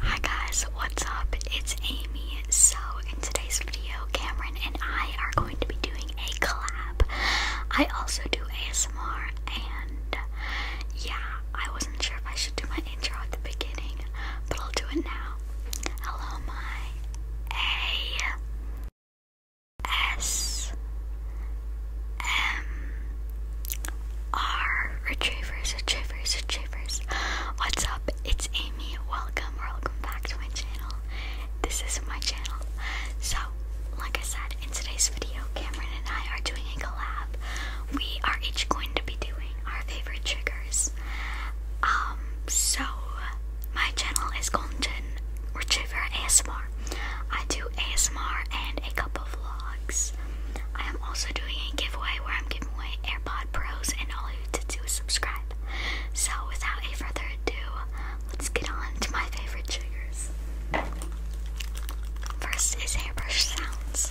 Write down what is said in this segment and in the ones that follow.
Hi guys, what's up? It's Amy. So, in today's video, Cameron and I are going to be doing a collab. I also do ASMR, and yeah, I wasn't sure if I should do my intro at the beginning, but I'll do it now. Hello, my A S um, retrievers, retrievers, retrievers. What's up? It's Amy. Welcome, welcome back to my channel. This is my channel. So, like I said, in today's video, Cameron and I are doing a collab. We are each going to be doing our favorite triggers. Um, so my channel is Golden Retriever ASMR. I do ASMR and a couple vlogs. I am also doing a giveaway where I'm giving away AirPod Pros, and all you have to do is subscribe. So, without any further ado, let's get on to my favorite triggers. First is airbrush sounds.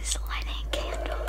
is lighting a candle.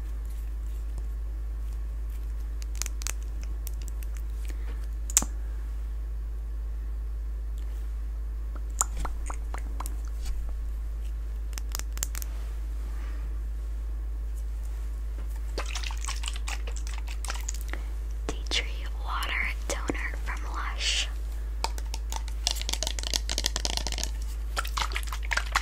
Tea Tree Water Toner from Lush.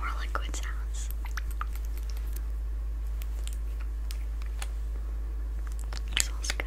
More liquid sounds. Smells good.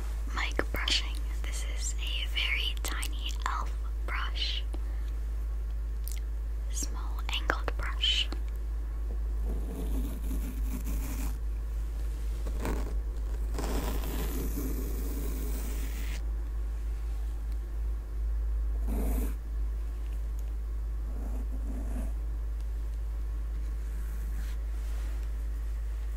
mic brushing. This is a very tiny elf brush, small angled brush.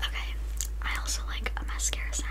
Okay, I also like a mascara sounds.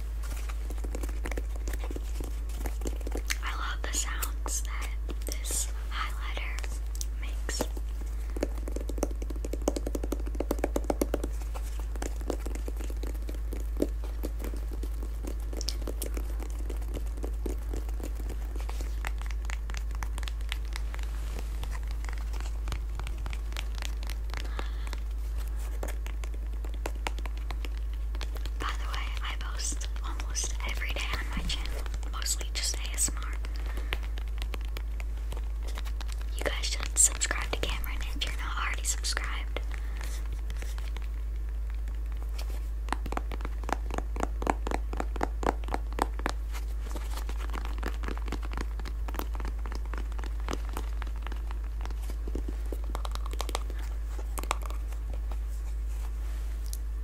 I love the sounds that this highlighter makes. By the way, I post almost every day on my channel, mostly just ASMR. You guys should subscribe to Cameron if you're not already subscribed.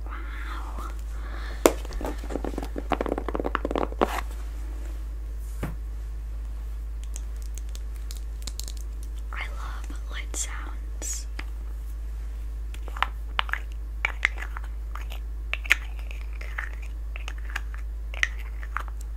Wow. I love light sounds.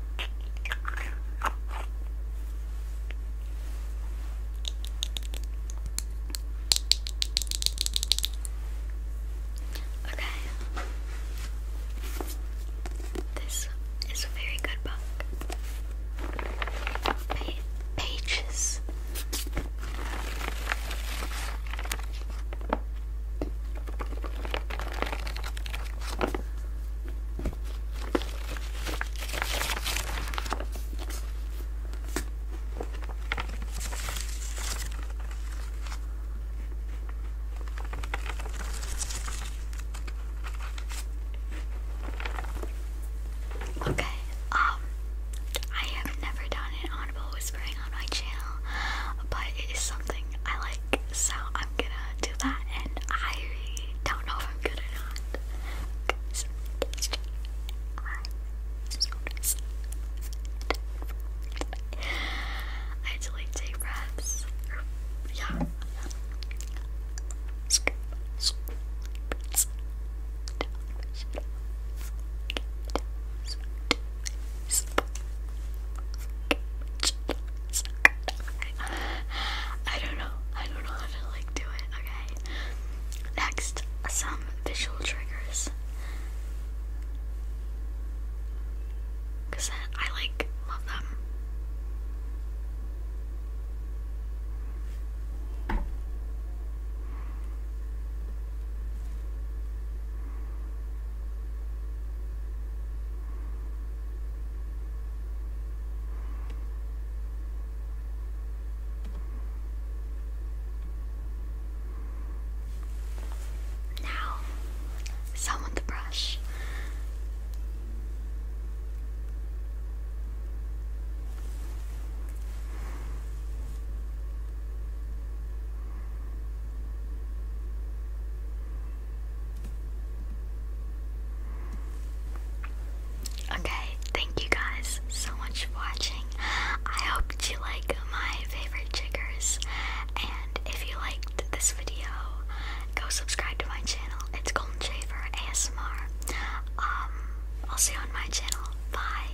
Okay. This is a very good book. pages. Okay, um, I have never done an audible whispering on my channel, but it is something I like, so I'm gonna do that, and I don't know if I'm good or not. I had to like take breaths. yeah. I don't know. I don't know how to like do it. Okay. Next, some visual triggers. Cause I like love them. Now, with the brush. Okay, thank you guys so much for watching. I hope you liked my favorite triggers. And if you liked this video, go subscribe to my channel. It's Golden Shaver ASMR. Um, I'll see you on my channel. Bye.